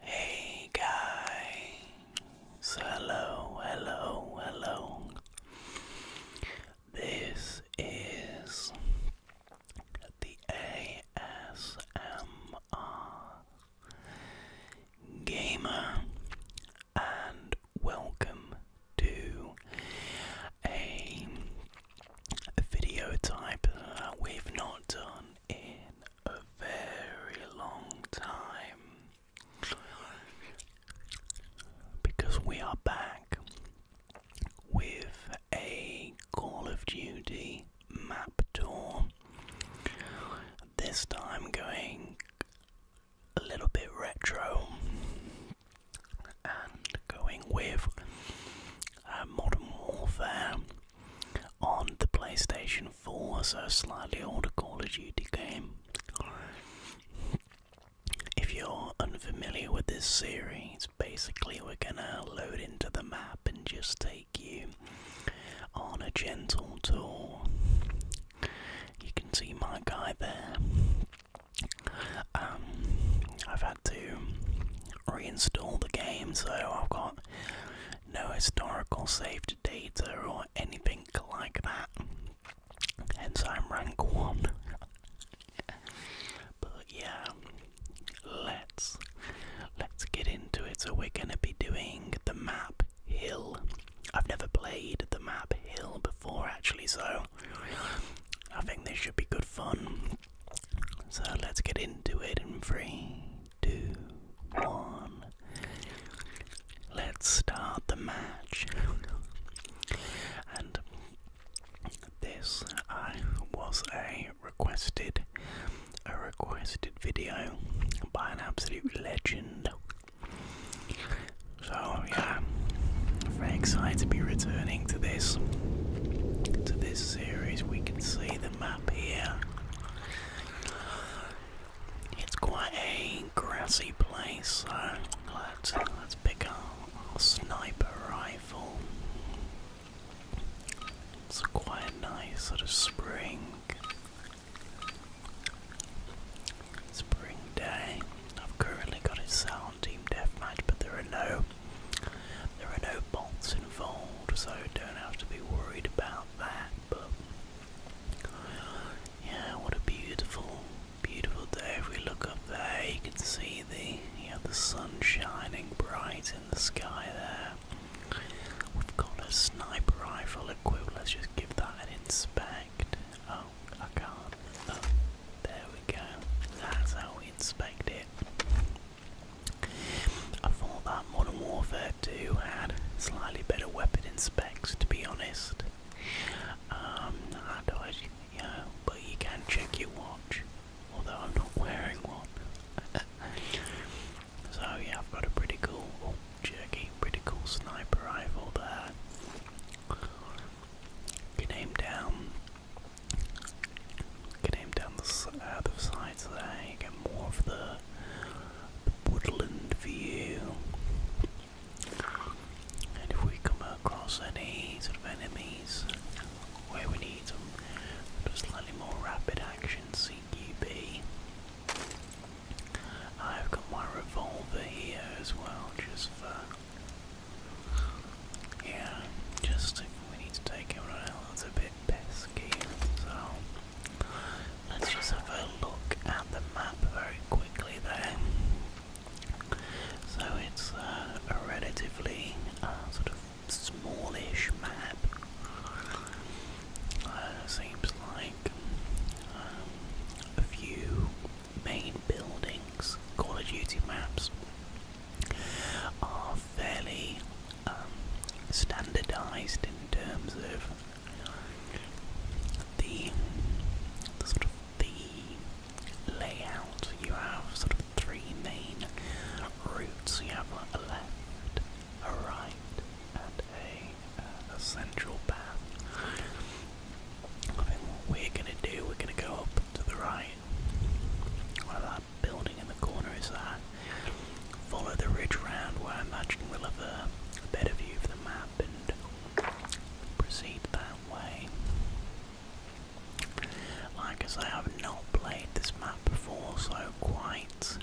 Hey guys, hello, hello, hello. This is the ASMR Gamer, and welcome to a video type that we've not done in a very long time. Because we are back with a Call of Duty map tour. This time going a little bit retro and going with uh, Modern Warfare on the PlayStation for a slightly older Call of Duty game. If you're unfamiliar with this series, basically we're gonna load into the map and just take you on a gentle tour. You can see my guy there. Um, I've had to reinstall the game, so I've got no historical saved data or anything like that. Hence, I'm rank one. but yeah, let's let's get into it. So we're gonna be doing the map Hill. I've never played the map Hill before, actually, so I think this should be good fun. So let's get into it and free two, one. Let's start the match. and this was a requested a requested video by an absolute legend. So yeah, very excited to be returning to this to this series. We can see the map here. It's quite a grassy place, so let's let's pick up our sniper rifle. It's quite nice sort of spring spring day. I've currently got it set on Team Deathmatch, but there are no there are no bots involved, so don't have to be worried about that yeah, what a beautiful, beautiful day. If we look up there, you can see the you the sun shining bright in the sky there. We've got a sniper rifle equipped. Let's just give that an inspect. Oh, I can't. Oh, there we go. That's how we inspect it. I thought that Modern Warfare who had slightly better weapon and specs, to be honest. Um, I you know, but you can check your watch, although I'm not wearing one. so yeah, I've got a pretty cool, oh, jerky, pretty cool sniper rifle there. Can aim down, can aim down the, uh, the sides there. get more of the woodland view. And if we come across any sort of enemies where we need them, slightly more rapid action CQB. I've got my revolver here as well, just for. Yeah, just we need to take everyone out, a bit pesky, so Let's just have a look at the map very quickly there. So it's uh, a relatively uh, sort of smallish map. Uh, seems like um, a few main buildings, Call of Duty maps, are fairly um, standardized in terms of the, sort of the layout. You have sort of three main routes. You have a left, a right, and a, uh, a central path. I think what we're gonna do, we're gonna go up to the right. Well, that building in the corner is that. Follow the ridge round where I imagine we'll have a, better view of the map and proceed that way. Like I say, I have not played this map before, so quite,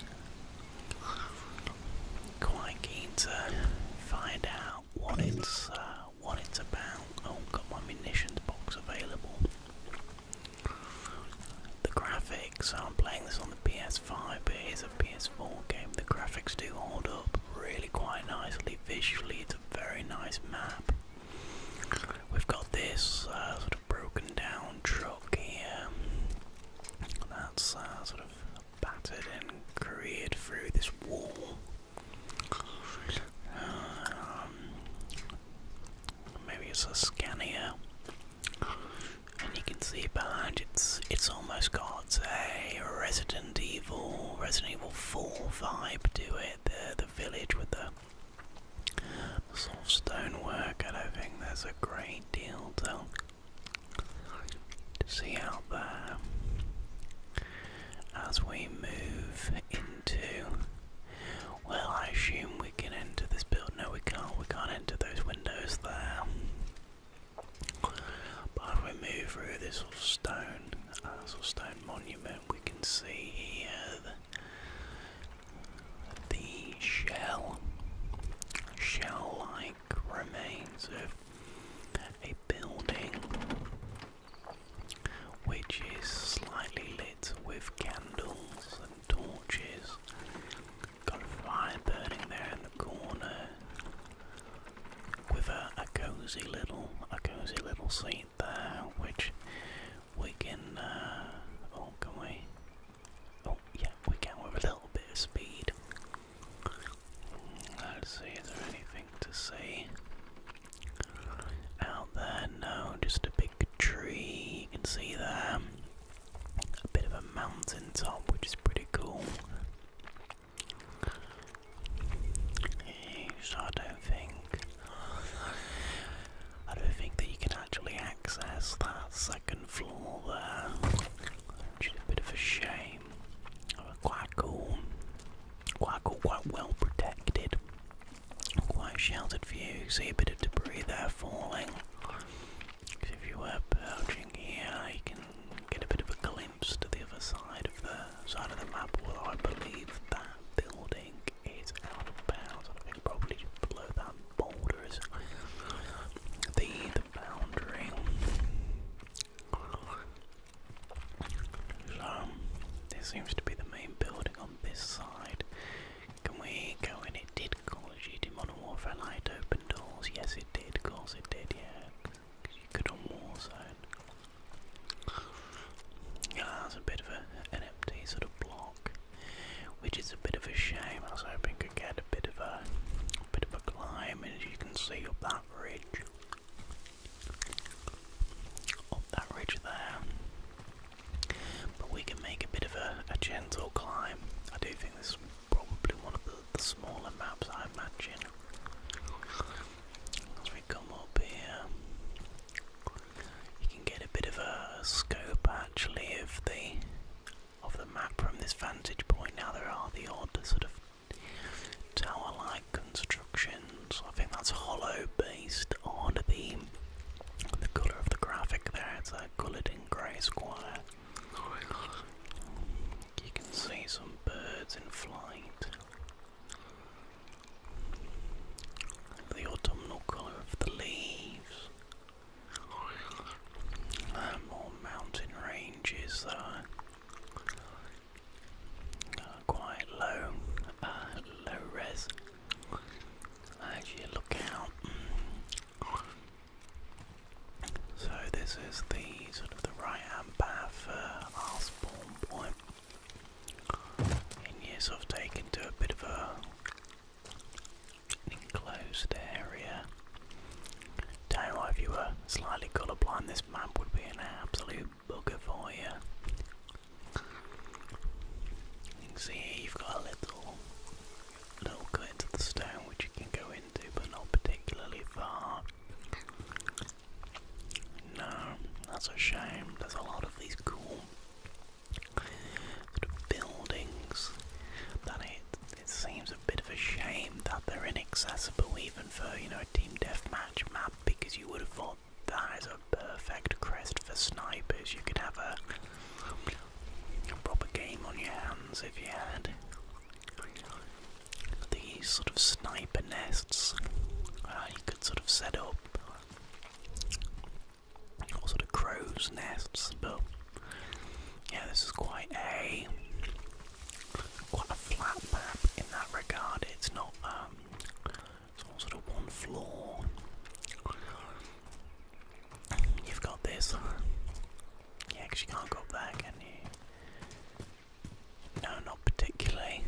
quite keen to find out what it's uh, what it's about. Oh, got my munitions box available. The graphics. I'm playing this on PS5, but it is a PS4 game. The graphics do hold up really quite nicely. Visually, it's a very nice map. We've got this uh, sort of broken down truck here. That's uh, sort of battered and careered through this wall. Um, maybe it's a Scania. And you can see behind it's it's almost got a Resident Evil, Resident Evil 4 vibe to it. The the village with the sort of stone work. I don't think there's a great deal to to see out there. As we move into, well, I assume we can enter this building. No, we can't. We can't enter those windows there. But we move through this little stone, uh, stone monument, we can see here the shell, shell-like remains of a building which is slightly lit with candles and torches Got a fly burning there in the corner. With a, a cozy little, a cozy little seat there, which we can. Uh, oh, can we? Oh, yeah, we can with a little bit of speed. Let's see, is there anything to see out there? No, just a big tree. You can see there a bit of a mountain top, which is pretty cool. So I think I don't think that you can actually access that second floor there, which is a bit of a shame. quite cool, quite cool, quite well protected, quite sheltered view. See a bit of debris there falling if you were perching here, you can get a bit of a glimpse to the other side of the side of the map. Although I believe that building is out of bounds. below that boulder the the boundary. So this seems to be the main building on this side. Can we go in? It did call G Modern Warfare Light open doors. Yes, did, of it did, yeah. You could on Warzone. Yeah, that's a bit of an empty sort of block, which is a bit of a shame. I was hoping to get a bit of a, a bit of a climb, and as you can see up that ridge, up that ridge there. But we can make a bit of a, a gentle climb. I do think this probably one of the, smaller maps I imagine. As we come up here, you can get a bit of a scope actually of the of the map from this vantage point. Now there are the odd sort of tower-like constructions. I think that's hollow based on the colour of the graphic there. It's a uh, coloured in grey square. You can see some birds in flight. The autumnal colour of the leaves. more mountain ranges that quite low, uh, low res. As you look out, so this is the sort of the right hand path for our spawn point. And yes, I've taken to a bit of a an enclosed area. Tell you what, if you were this map would be an absolute bugger for you. You can see here you've got a little little cut into the stone which you can go into, but not particularly far. No, that's a shame. There's a lot of these cool sort of buildings that it, it seems a bit of a shame that they're inaccessible even for, you know, a team deathmatch map because you would have thought that is a perfect crest for snipers. You could have a proper game on your hands if you had these sort of sniper nests uh, you could sort of set up or sort of crows nests but yeah this is quite a quite a flat map in that regard it's not um it's all sort of one floor you've got this yeah, because you can't go back, and you? No, not particularly.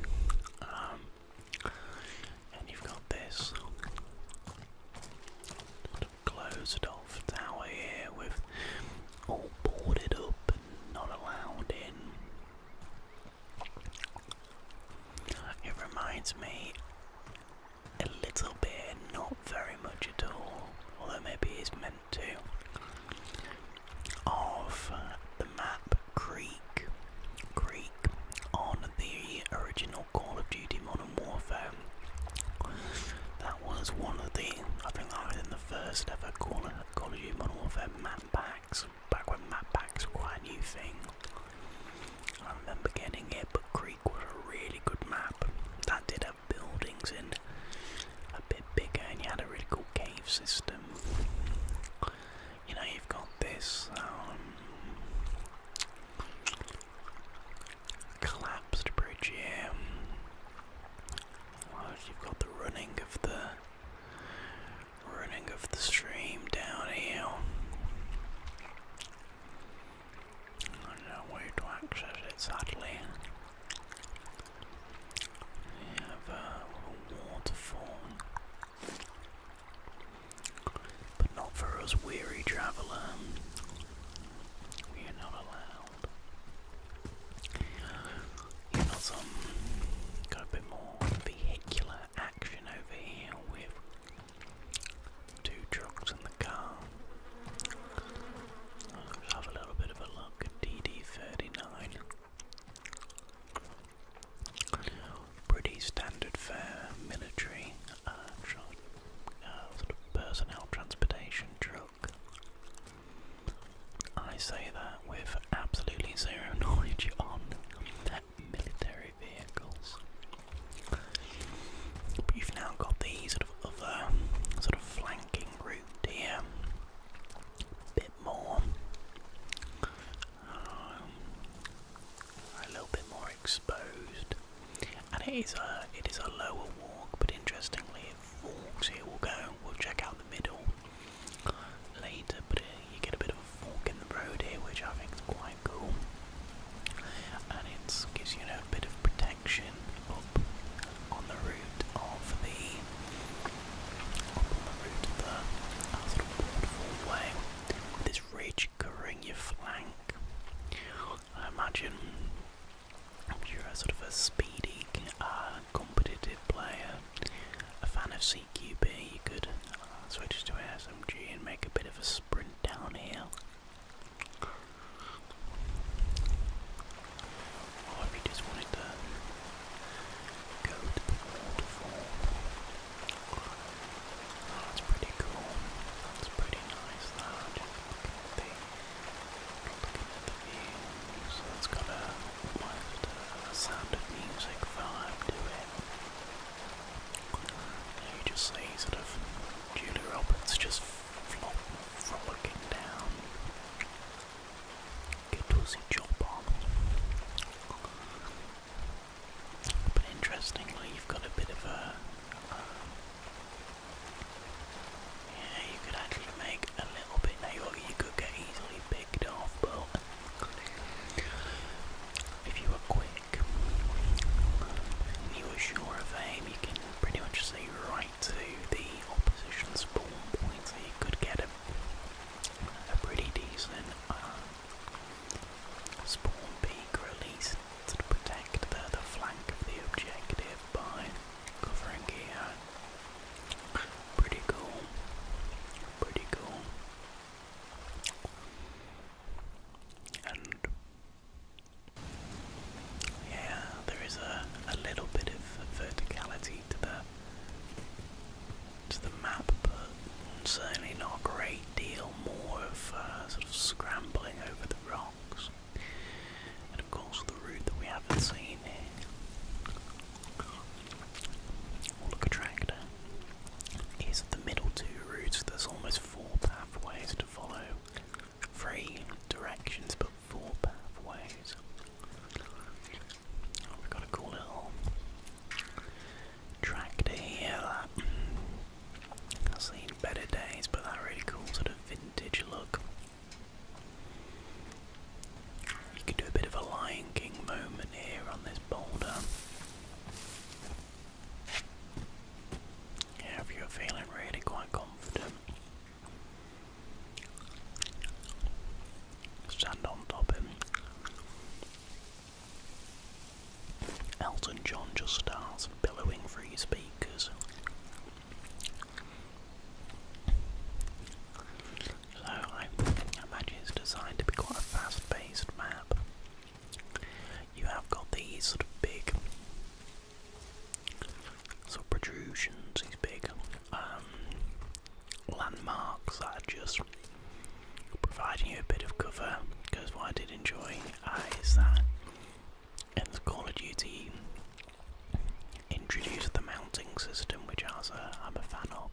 Um, and you've got this closed off tower here with all boarded up and not allowed in. It reminds me a little bit, not very much at all, although maybe it's meant to, of the map Creek, Creek on the original Call of Duty Modern Warfare. That was one of the, I think that was in the first ever Call of, Duty Modern Warfare map packs, back when map packs were quite a new thing. I remember getting it, but Creek was a really good map. That did buildings and a bit bigger, and you had a really cool cave system. You know, you've got this um, collapsed bridge here. you've got the running of the running of the stream down here. I know way to access it sadly. We have uh, a waterfall. But not for us weary traveller. We are not allowed. You've got a bit more vehicular action over here with two trucks in the car. Let's have a little bit of a look at DD39. Pretty standard fare, military uh, uh, sort of personnel transportation truck. I say that with absolutely zero knowledge on military vehicles. But you've now got the sort of other sort of flanking route here. A bit more. Um, a little bit more exposed. And it is a it is a lower walk, but interestingly it walks here. We'll go, we'll check out the middle later, but it, uh, you get a bit of a fork in the road here, which I think is quite cool. And it gives you know, a bit of protection section up on the route of the up on the route of the waterfall way with this ridge covering your flank. I imagine you're a sort of a speedy, uh, competitive player, a fan of CQB, you could uh, switch to an SMG and make a bit of a sprint downhill. Or oh, if you just wanted to go to the waterfall. Oh, that's pretty cool. That's pretty nice that. Just look at the looking at the view. So it's got a almost a sound of music vibe to it. You just see sort of Julie Roberts just from looking down. It was a job on. But interestingly, you've got a bit of a. Um, yeah, you could actually make a little bit. Now, you could get easily picked off, but if you were quick and you were sure of aim, you can pretty much see right to the opposition spawn point, so you could get a, pretty decent uh, spawn peak release to protect the, flank of the objective by covering here. Pretty cool. Pretty cool. And yeah, there is a, little bit of verticality to the to the map, but certainly not a great deal more of uh, sort of scrambling over the rocks. And of course, the route that we haven't seen Or look, a tractor is the middle two routes. There's almost four pathways to follow. Three directions but four pathways. Oh, we've got a cool little track to here. I've seen better days, but that really cool sort of vintage look. You could do a bit of a Lion King moment here on this boulder. Yeah, if you're feeling really quite confident, stand on top him. Elton John just starts billowing through his speakers. So I imagine it's designed to be quite a fast-paced map. You have got these sort of big so protrusions, he's big. Um, landmarks that are just providing you a bit of cover, because what I did enjoy uh, is that in the Call of Duty introduced the mounting system, which I I'm a fan of.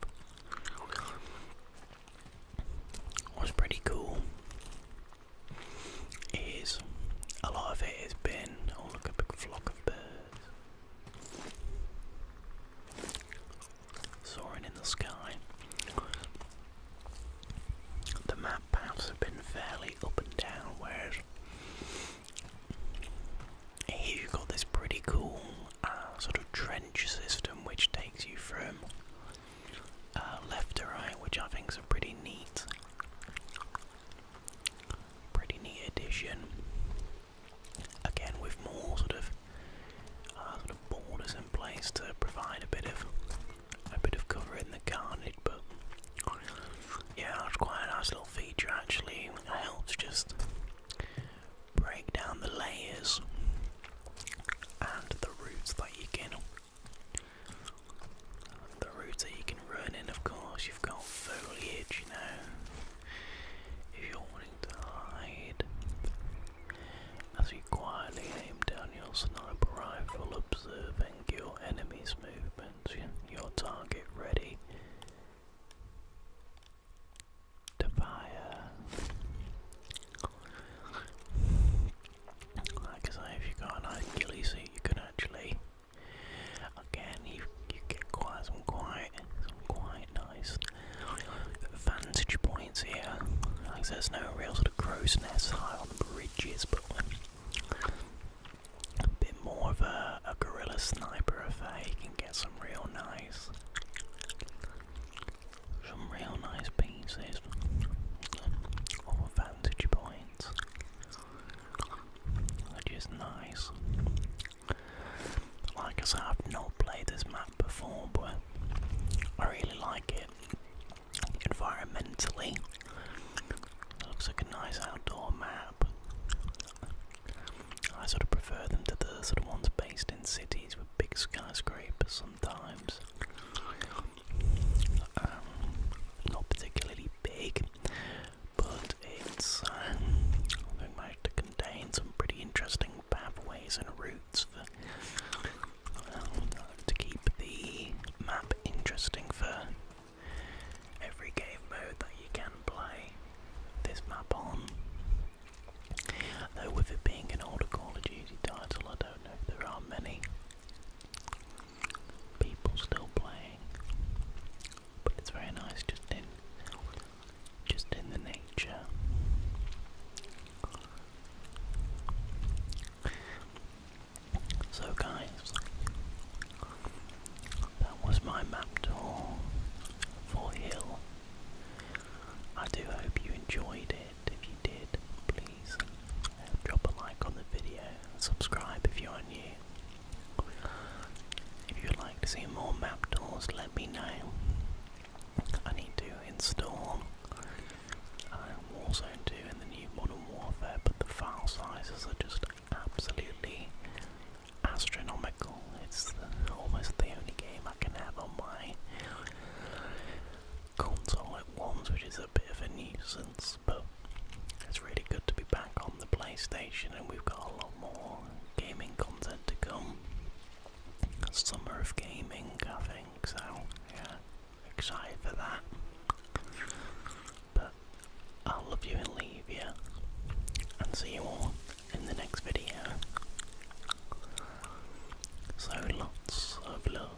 Was pretty cool is a lot of it has been oh, look a big flock of birds soaring in the sky. The map paths have been fairly up and down, whereas here you've got this pretty cool uh, sort of trench system which takes you from uh, left to right, which I think is a pretty neat Pretty neat addition. Again, with more sort of uh, sort of borders in place to provide a bit of a bit of cover in the carnage, but yeah, that's quite a nice little feature actually. It helps just break down the layers and the roots that you can the that you can run in, of course, you've got foliage, you know. If you're wanting to hide, as you quietly aim down your sniper rifle, observing your enemy's movements, your target ready to fire. Like if you've got an Achilles seat, you can actually Again, you get quite some quite some quite nice vantage points here. Like there's no real sort of crow's nest high on the bridges, but a bit more of a, a guerrilla sniper affair. You can get some real nice, some real nice pieces of vantage points which is nice. Like I said, I've not played this map before, but I really like it environmentally. looks like a nice outdoor map. I sort of prefer them to the sort of ones based in cities with big skyscrapers sometimes um, not particularly big, but it's um, going to contain some pretty interesting pathways and routes for, um, to keep the map interesting for every game mode that you can play this map on. Though with it being an older Call of Duty title, I don't know if there are many people still playing, but it's very nice just in just in the nature. So guys, that was my map tour for Hill. I do hope you enjoyed it. If you did, please please drop a like on the video and subscribe if you are new. If you would like to see more map doors, let me know. I need to install. I'm um, also doing the new Modern Warfare, but the file sizes are just absolutely astronomical. It's almost the only game I can have on my console at once, which is a bit of a nuisance, but it's really good to be back on the PlayStation, and we've got a lot more gaming content to come. Summer of Gaming, I think, so yeah, excited for that. But I'll love you and leave you, and see you all in the next video. So lots of love